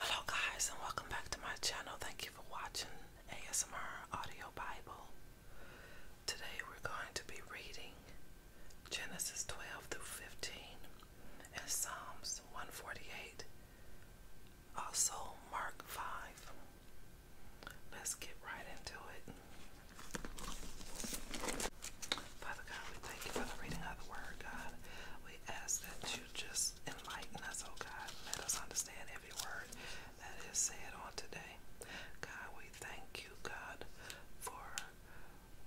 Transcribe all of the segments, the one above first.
Hello guys and welcome back to my channel. Thank you for watching ASMR Audio Bible. Today we're going to be reading Genesis 12 through 15 and Psalms 148. Also Mark 5. Let's get right into it. Father God, we thank you for the reading of the word, God. We ask that just enlighten us, oh God. Let us understand every word that is said on today. God, we thank you, God, for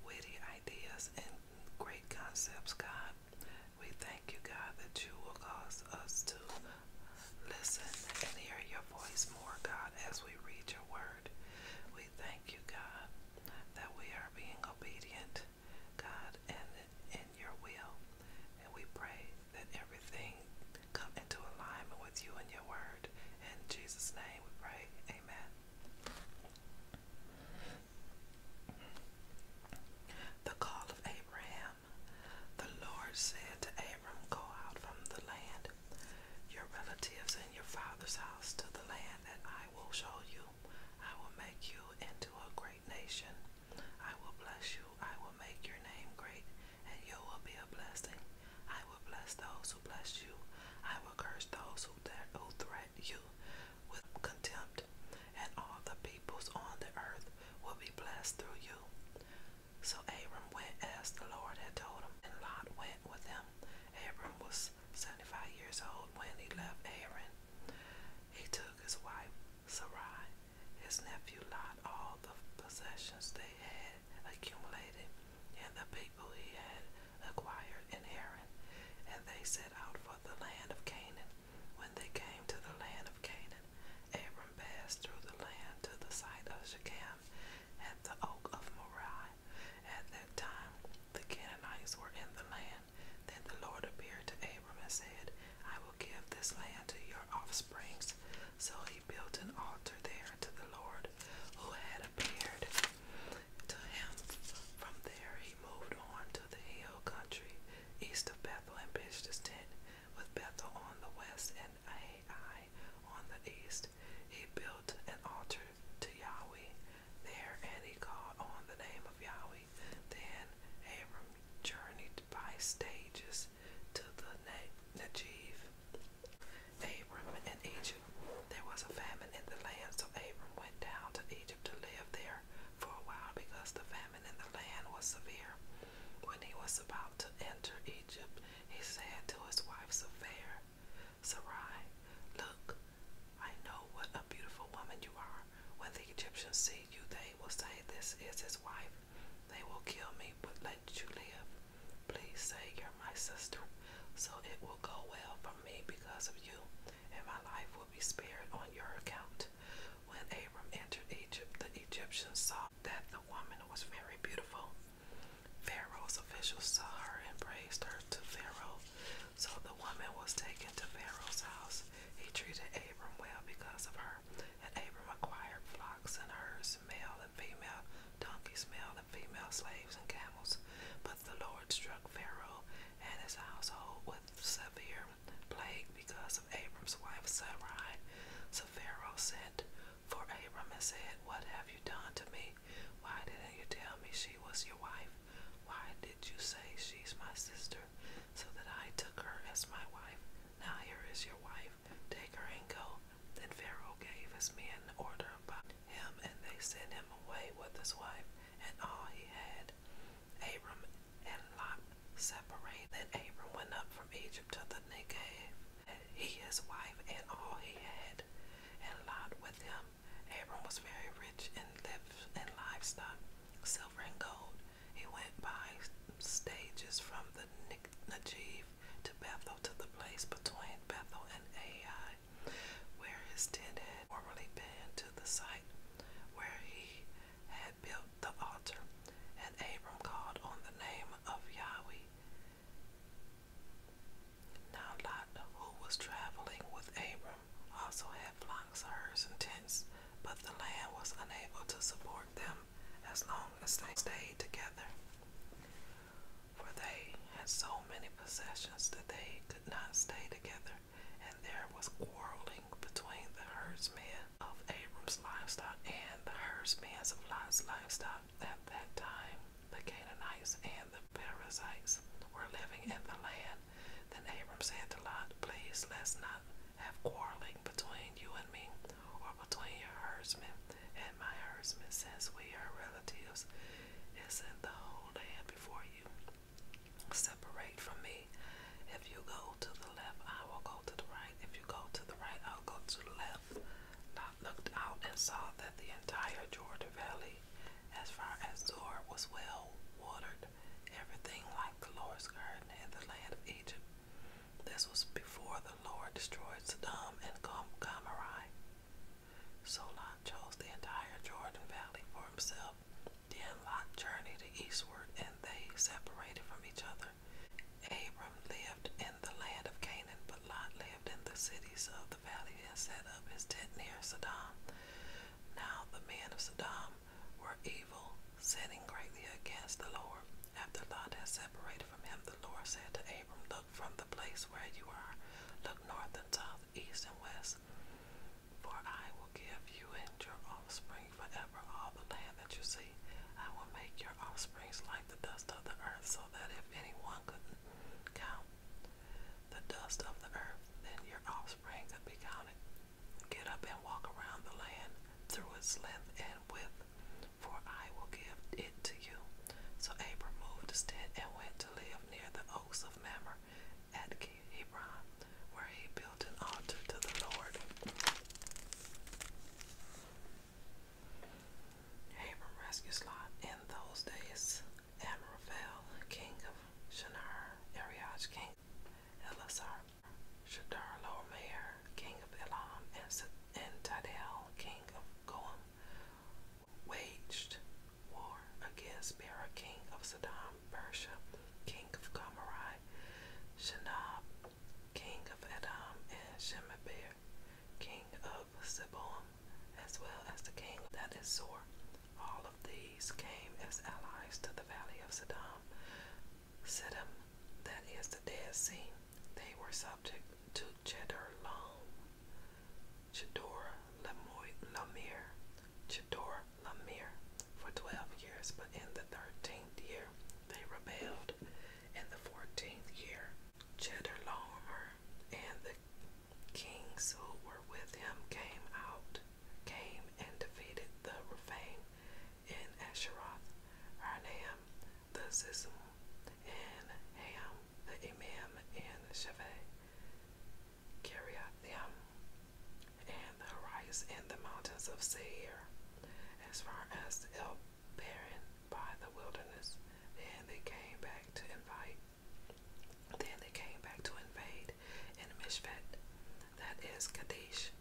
witty ideas and great concepts, God. We thank you, God, that you will cause us to listen and hear your voice more, God, as we read your word. We thank you, God, that we are being obedient God, and in your will. And we pray that everything come into alignment with you and your word. In Jesus' name we pray. Amen. The call of Abraham. The Lord said to Abram, Go out from the land, your relatives, and your father's house to the land that I will show you. I will make you into a great nation. I will bless you, I will make your name great, and you will be a blessing. I will bless those who bless you, I will curse those who, th who threaten you with contempt, and all the peoples on the earth will be blessed through you. So Abram went as the Lord had told him, and Lot went with him. Abram was 75 years old when he left Haran. He took his wife, Sarai, his nephew Lot, all the possessions they had accumulated, and the people he had acquired in Haran, and they set out for the land of Canaan. When they came to the land of Canaan, Abram passed through the land to the site of Shechem at the oak of Moriah. At that time, the Canaanites were in the land. Then the Lord appeared to Abram and said, I will give this land to your offsprings. So he built an altar there to the Lord who had appeared to him. From there he moved on to the hill country east of Bethel and pitched his tent with Bethel on the west and Ai on the east. He built an altar to Yahweh. There, and he called on the name of Yahweh. Then Abram journeyed by stages to the Negev. Abram in Egypt. There was a famine in the land, so Abram went down to Egypt to live there for a while because the famine in the land was severe. When he was about to enter Egypt, he said to his wife Sarai, Sarai, Look, I know what a beautiful woman you are. When the Egyptians see you, they will say, This is his wife. They will kill me, but let you live. Please say you're my sister, so it will go well for me because of you, and my life will be spared on your account. When Abram entered Egypt, the Egyptians saw that the woman was very beautiful. Pharaoh's officials saw her and praised her to Pharaoh. So the woman was taken to Pharaoh's house. He treated Abram well because of her, and Abram acquired flocks and herds, male and female donkeys, male and female slaves, and camels. But the Lord struck Pharaoh and his household with severe plague because of Abram's wife Sarai. So Pharaoh sent for Abram and said, What have you done to me? Why didn't you tell me she was your wife? Why did you say she's my sister? So that I took her as my wife. Now here is your wife. Take her and go. Then Pharaoh gave his men order about him, and they sent him away with his wife and all he had. Abram and Lot separated. Then Abram went up from Egypt to the Negev, he, his wife, and all he had, and Lot with him, Abram was very rich in, live, in livestock, silver and gold. He went by stages from the Negev to Bethel to the place between Bethel and Ai, where his tent had formerly been, to the site where he had built the altar. And Abram called on the name of Yahweh. Now Lot, who was traveling with Abram, also had flocks, herds, and tents, but the land was unable to support them as long as they stayed together. For they had so many possessions that they could not stay together, and there was quarreling between the herdsmen of Abram's livestock and the herdsmen of Lot's livestock at that time. The Canaanites and the Perizzites were living in the land. Then Abram said to Lot, Please, let's not have quarreling between you and me, or between your herdsmen and my herdsmen, since we are relatives. Isn't the whole land before you? Separate from me. If you go to the left, I will go to the right. If you go to the right, I'll go to the left. Lot looked out and saw that the entire Jordan Valley as far as Zor was well watered, everything like the Lord's garden in the land of Egypt. This was before the Lord destroyed Sodom and Gomorrah. So Lot chose the entire Jordan Valley for himself. Then Lot journeyed eastward, and they separated from each other. Abram lived in the land of Canaan, Lot lived in the cities of the valley and set up his tent near Sodom. Now the men of Sodom were evil, sinning greatly against the Lord. After Lot had separated from him, the Lord said to Abram, Look from the place where you are, look north and south, east and west, for I will give you and your offspring forever all the land that you see. I will make your offspring like the dust of the earth, so that if anyone could count the dust of the earth, and your offspring could be counted. Get up and walk around the land through its length and width, for I will give it to you. So Abram moved his tent and went to live near the oaks of Mamre at Hebron, where he built an altar to the Lord. Abram rescues Lot. In those days, Amraphel, king of Shinar, Ariaj, king of Elasar, Shadar mayor, king of Elam, and, and king of Goam, waged war against Bera, king of Saddam, Persia, king of Gomorrah, Shinab, king of Edom, and Shemabel, king of Siboam, as well as the king that is Zor. All of these came as allies to the valley of Sidom. Sidom, that is the Dead Sea. They were subject to Chedorlaomer, Chedorlaomer, Chedorlaomer for twelve years, but in the thirteenth year they rebelled. In the fourteenth year Cheddar and the kings who were with him came out, came and defeated the Rephaim in Asheroth, Arnaim, the Zizim, and Ham, the Emim, and Sheveh, Kiriathim, and the Horites and the mountains of Seir, as far as Elbaren by the wilderness. Then they came back to invite then they came back to invade in Mishpat, that is Kadesh,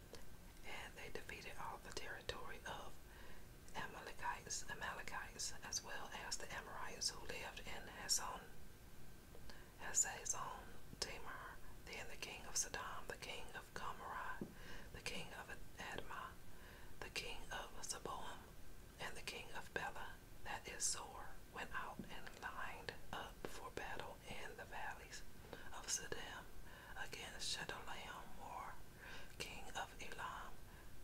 and they defeated all the territory of Amalekites, Amalekites, as well as the Amorites who lived in Hazon, Hazazon, Tamar, then the king of Sodom, the king of Gomorrah, the king of Edma, the king of Zeboam, and the king of Bela, that is Sore, went out and lined up for battle in the valleys of Siddim against Chedorlaomer, Moor, king of Elam,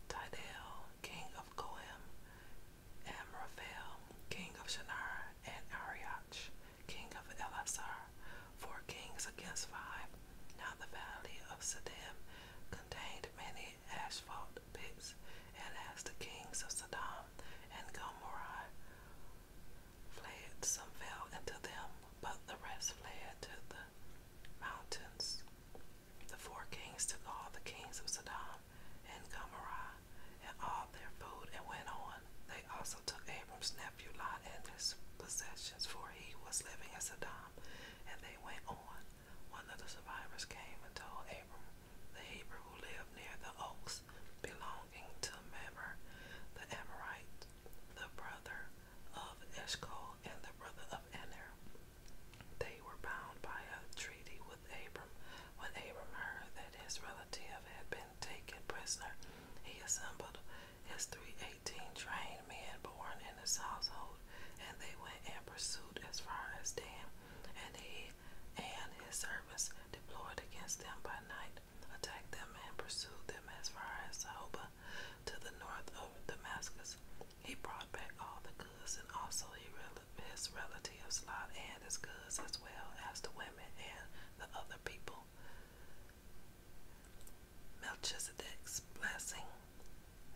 Tidal, king of Goim, Amraphel, king of Shinar, and Arioch, king of Elasar, four kings against five. Now the valley of Siddim contained many asphalt pits, and as the kings of Sodom and Gomorrah fled, some fell into them, but the rest fled to the mountains. The four kings took all the kings of Sodom and Gomorrah and all their food and went on. They also took Abram's nephew Lot and his possessions, for he was living in Sodom, and they went on. One of the survivors came and told Abram, the Hebrew who lived near the oaks belonging to Mamre, the Amorite, the brother of Eshcol and the brother of Aner. They were bound by a treaty with Abram. When Abram heard that his relative had been taken prisoner, he assembled his 318 trained men born in in his household, and they went and pursued as far as Dam, and he and his servants deployed against them by night, attacked them, and pursued them as far as Zobah, to the north of Damascus. He brought back all the goods, and also his relatives Lot and his goods, as well as the women and the other people. Melchizedek's blessing.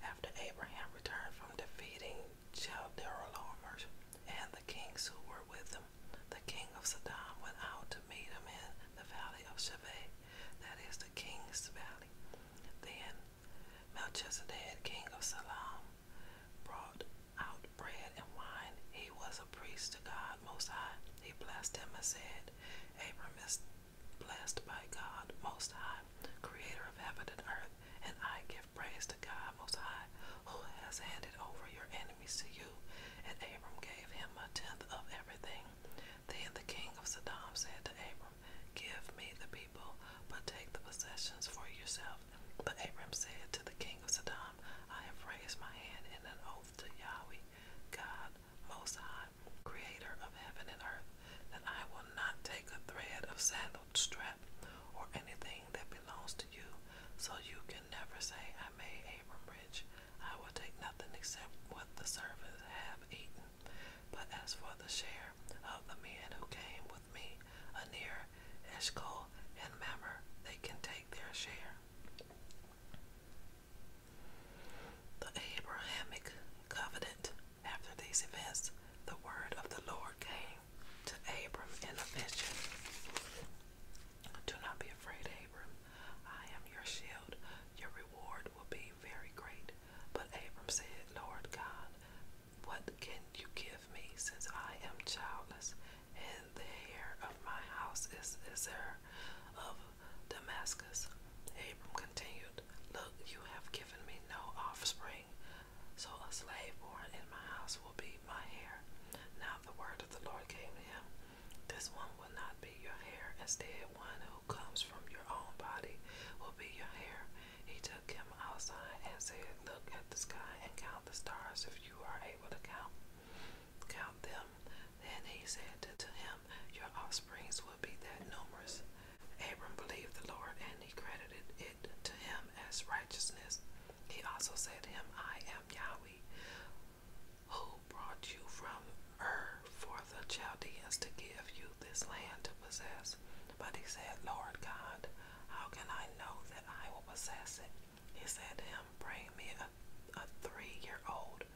After Abraham returned from defeating Childerlaomer and the kings who were with him, the king of Sodom went out to meet him in the valley of Sheveh, that is the king's valley. Then Melchizedek, king of Salem, brought out bread and wine. He was a priest to God Most High. He blessed him and said, Abram blessed by God Most High, Creator of heaven and earth, and I give praise to God Most High, who has handed over your enemies to you. And Abram gave him a tenth of everything. Then the king of Sodom said to Abram, Give me the people, but take the possessions for yourself. But Abram said to the king of Sodom, I have raised my hand in an oath to Yahweh, God Most High God, creator of heaven and earth, that I will not take a thread of sandal strap or anything that belongs to you, so you can never say, I made Abram rich. I will take nothing except what the servants have eaten. But as for the share of the men who came with me, Anir, Eshcol, and Mamre, they can take their share. The Abrahamic covenant. After these events, the word of the Lord came to Abram in a vision. Do not be afraid, Abram. I am your shield. Your reward will be very great. But Abram said, Lord God, what can you give me since I am childless and the heir of my house is Isar of Damascus. Abram continued, Look, you have given me no offspring, so a slave born in my house will be my heir. Now the word of the Lord came to him, This one will not be your heir, instead, one who comes from your own body will be your heir. He took him outside and said, Look at the sky and count the stars if you are able to count count them. Then he said to him, Your offsprings will would be that numerous. Abram believed the Lord, and he credited it to him as righteousness. He also said to him, I am Yahweh, who brought you from Ur for the Chaldeans to give you this land to possess. But he said, Lord God, how can I know that I will possess it? He said to him, Bring me a, a three year old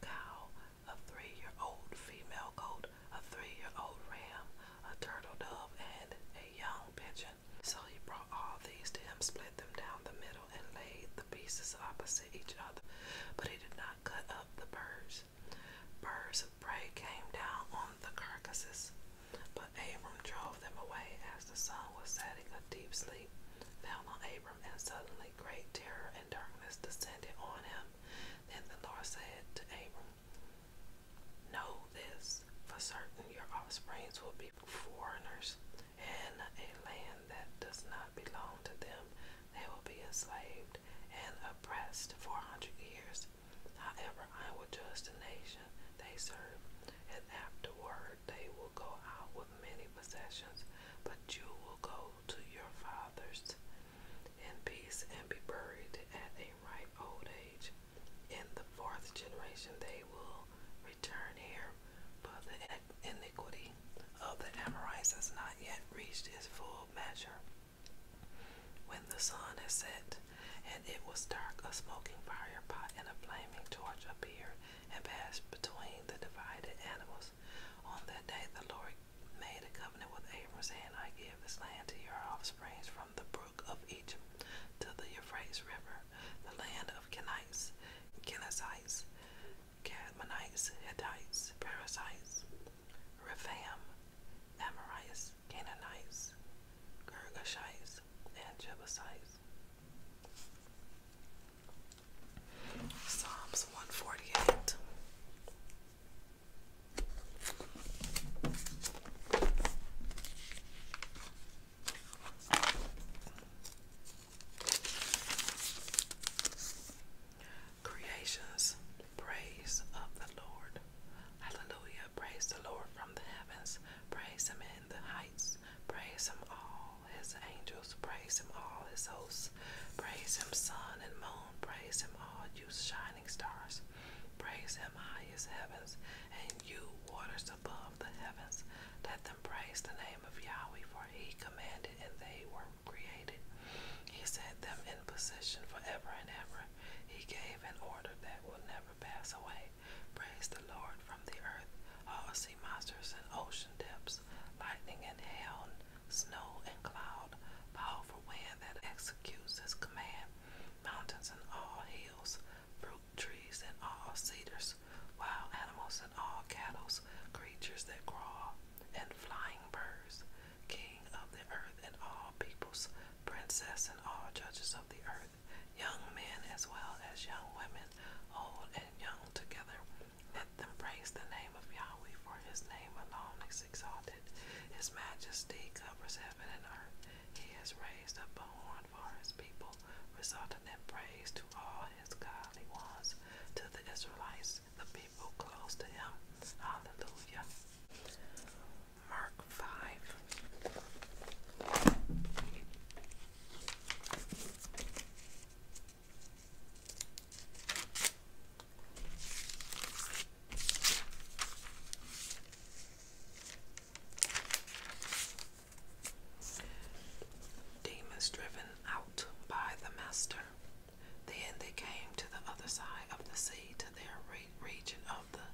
cow, a three-year-old female goat, a three-year-old ram, a turtle dove, and a young pigeon. So he brought all these to him, split them down the middle, and laid the pieces opposite each other. But he did not cut up the birds. Birds of prey came down on the carcasses. But Abram drove them away as the sun was setting. A deep sleep fell on Abram, and suddenly great terror and darkness descended on him. Then the Lord said to Abram, Know this for certain your offsprings will be foreigners in a land that does not belong to them. They will be enslaved and oppressed for a hundred years. However, I will judge the nation they serve, and afterward they will go out with many possessions, but you will go to your fathers in peace and be buried at a ripe old age. In the fourth generation they will return here, but the iniquity of the Amorites has not yet reached its full measure. When the sun had set, and it was dark, a smoking fire pot and a flaming torch appeared and passed between the divided animals. On that day the Lord made a covenant with Abram, saying, I give this land to your offspring from the brook of Egypt to the Euphrates River, the land of Kenites, Kenazites, Cadmonites, Hittites, Perizzites, Rephaim, Amorites, Canaanites, Gergashites, and Jebusites. Psalms 148. Creations, praise of the Lord. Hallelujah. Praise the Lord from the heavens. Praise him in the heights. Praise him all his angels, praise him, all his hosts, praise him, sun and moon, praise him, all you shining stars, praise him, highest heavens, and you waters above the heavens. Let them praise the name of Yahweh, for he commanded and they were created. He set them in position forever and ever. He gave an order that will never pass away. Praise the Lord from the earth, all sea monsters and ocean depths lightning and hail, snow and cloud, powerful wind that executes his command, mountains and all hills, fruit trees and all cedars, wild animals and all cattle, creatures that crawl, and flying birds, king of the earth and all peoples, princess and all judges of the earth, young men as well as young women, old and young together, let them praise the name of Yahweh, for his name alone is exalted. His majesty covers heaven and earth. He has raised up a horn for his people, resulting in praise to all his godly ones, to the Israelites, the people close to him. Hallelujah. Mark 5. Demons driven out by the Master. Then they came to the other side of the sea to their region of the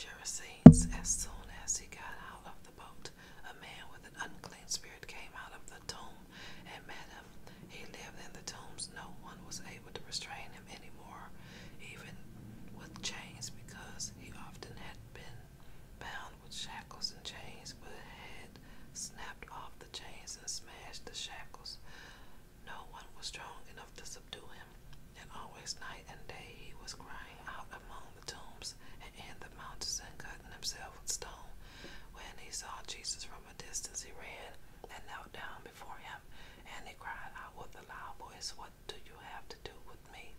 Gerasenes as soon as he got out of the boat a man with an unclean spirit came out of the tomb and met him. He lived in the tombs. No one was able to restrain him anymore, even with chains, because he often had been bound with shackles and chains, but had snapped off the chains and smashed the shackles. No one was strong enough to subdue him, and always night and day he was crying out among the tombs and in the mountains and cutting himself with stone. When he saw Jesus from a distance, he ran and knelt down before him, and he cried out with a loud voice, What do you have to do with me,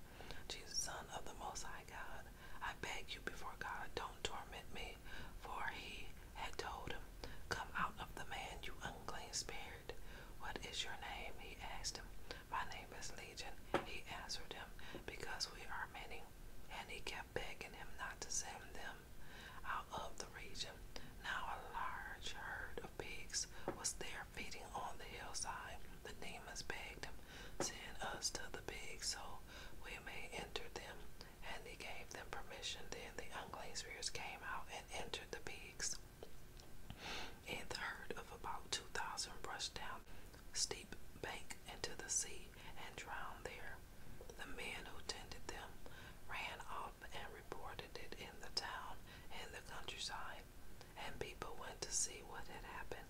Jesus, Son of the Most High God? I beg you before God, don't torment me. For he had told him, Come out of the man, you unclean spirit. What is your name? He asked him. My name is Legion, he answered him, because we are many and he kept begging him not to send them out of the region. Now a large herd of pigs was there feeding on the hillside. The demons begged him, send us to the pigs so we may enter them. And he gave them permission. Then the unclean spirits came out and entered the pigs. And the herd of about two thousand rushed down steep bank into the sea and drowned there. The men who tended them ran off and reported it in the town and the countryside, and people went to see what had happened.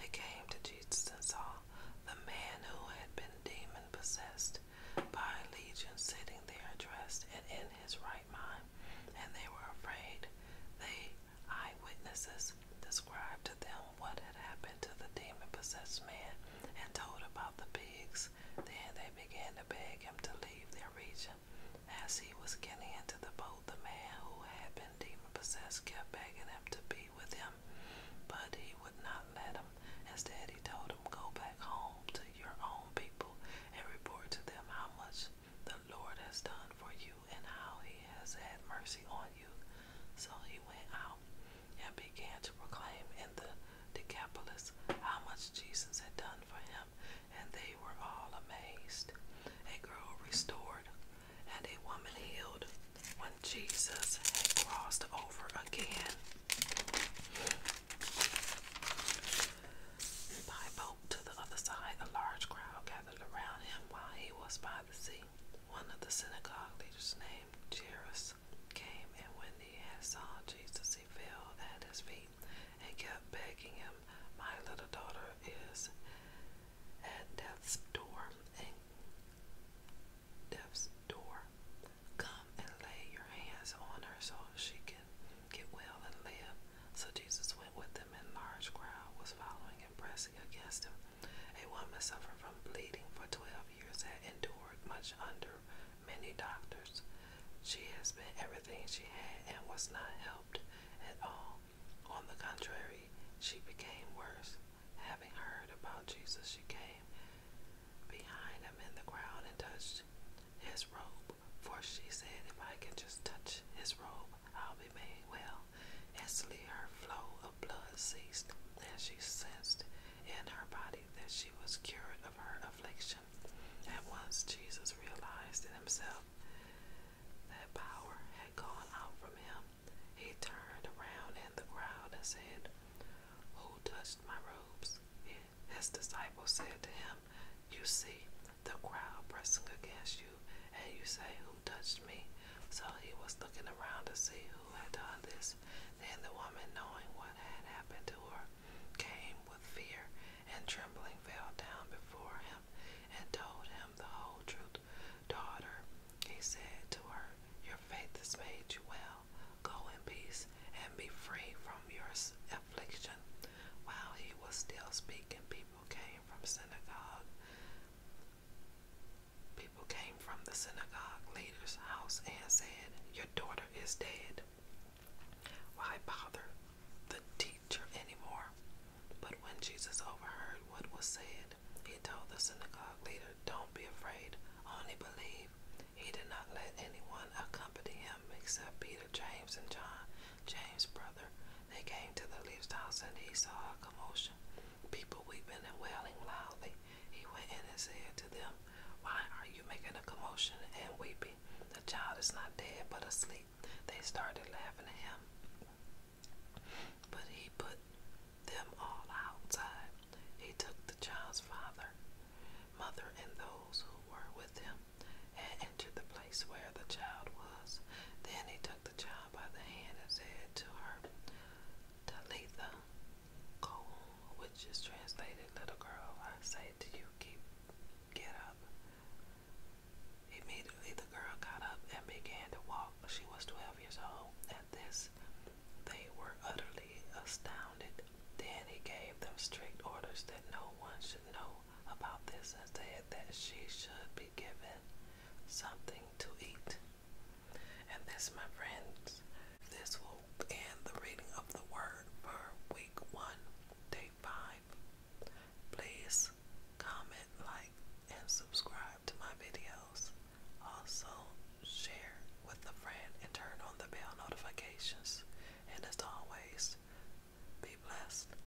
They came to Jesus and saw the man who had been demon possessed by a legion sitting there dressed and in his right mind, and they were afraid. They Eyewitnesses described to them what had happened to the demon possessed man and told about the pigs. Then they began to beg him to leave their region. As he was getting into the boat, the man who had been demon possessed kept begging him to be with him, but he would not let him. Instead, he told him, Go back home to your own people and report to them how much the Lord has done for you and how he has had mercy on you. So he went out and began to proclaim in the Decapolis how much Jesus had done for him, and they were all amazed. A girl restored and a woman healed when Jesus had crossed over again by boat to the other side. A large crowd gathered around him while he was by the sea. One of the synagogue leaders named Jairus came, and when he had saw Jesus, he fell at his feet and kept begging him, My little daughter is at death's door, and death's door. Come and lay your hands on her so she can get well and live. So Jesus went with them, and a large crowd was following pressing against him. A woman suffering from bleeding for 12 years had endured much under many doctors. She has spent everything she had and was not helped at all. On the contrary, she became worse. Having heard about Jesus, she came behind him in the crowd and touched his robe. For she said, If I can just touch his robe, I'll be made well. Instantly, her flow of blood ceased, and she sensed in her body that she was cured of her affliction. At once, Jesus realized in himself that power had gone out from him. He turned around in the crowd and said, Who touched my robes? His disciples said to him, You see the crowd pressing against you, and you say, Who touched me? So he was looking around to see who had done this. Then the woman, knowing what had happened to her, came with fear and trembling fell down before him and told him the whole truth. Daughter, he said to her, Your faith has made you well. Go in peace and be free from your affliction. While he was still speaking, people came from synagogue People came from the synagogue leader's house and said, Your daughter is dead. Why bother the teacher anymore? But when Jesus overheard what was said, he told the synagogue leader, Don't be afraid, only believe. He did not let anyone accompany him except Peter, James, and John, James' brother, they came to the least house, and he saw a commotion, people weeping and wailing loudly. He went in and said to them, Why are you making a commotion and weeping? The child is not dead, but asleep. They started laughing at him. But he put them all outside. He took the child's father, mother, and those who were with him, and entered the place where the child was. Then he took the child child by the hand and said to her, Talitha Koum, which is translated, Little girl, I say to you, keep, get up. Immediately the girl got up and began to walk. She was 12 years old. At this, they were utterly astounded. Then he gave them strict orders that no one should know about this and said that she should be given something to eat. And this, my friends, this will end the reading of the word for week one, day five. Please comment, like, and subscribe to my videos. Also, share with a friend and turn on the bell notifications. And as always, be blessed.